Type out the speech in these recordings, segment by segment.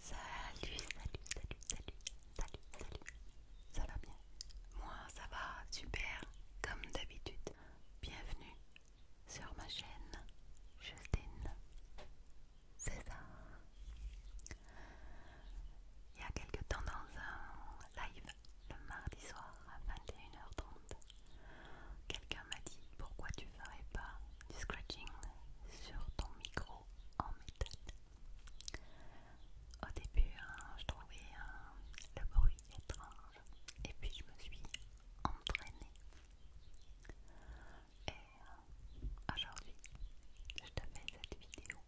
Salut, salut, salut, salut, salut, salut. Ça va bien Moi, ça va super, comme d'habitude. Bienvenue sur ma chaîne Justine César. Il y a quelques temps dans un live, le mardi soir à 21h30, quelqu'un m'a dit pourquoi tu ferais pas du scratching sur ton micro en méthode Au début, hein, je trouvais hein, le bruit étrange et puis je me suis entraînée. Et hein, aujourd'hui, je te fais cette vidéo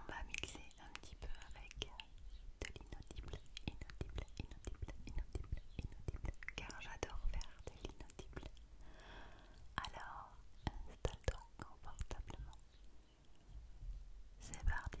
on va mixer un petit peu avec de l'inaudible, inaudible, inaudible, inaudible, inaudible, car j'adore faire de l'inaudible. Alors, installe-toi confortablement. C'est parti.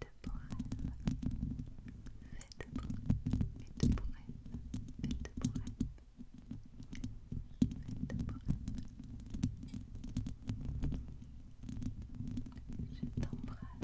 Faites pour Je t'embrasse.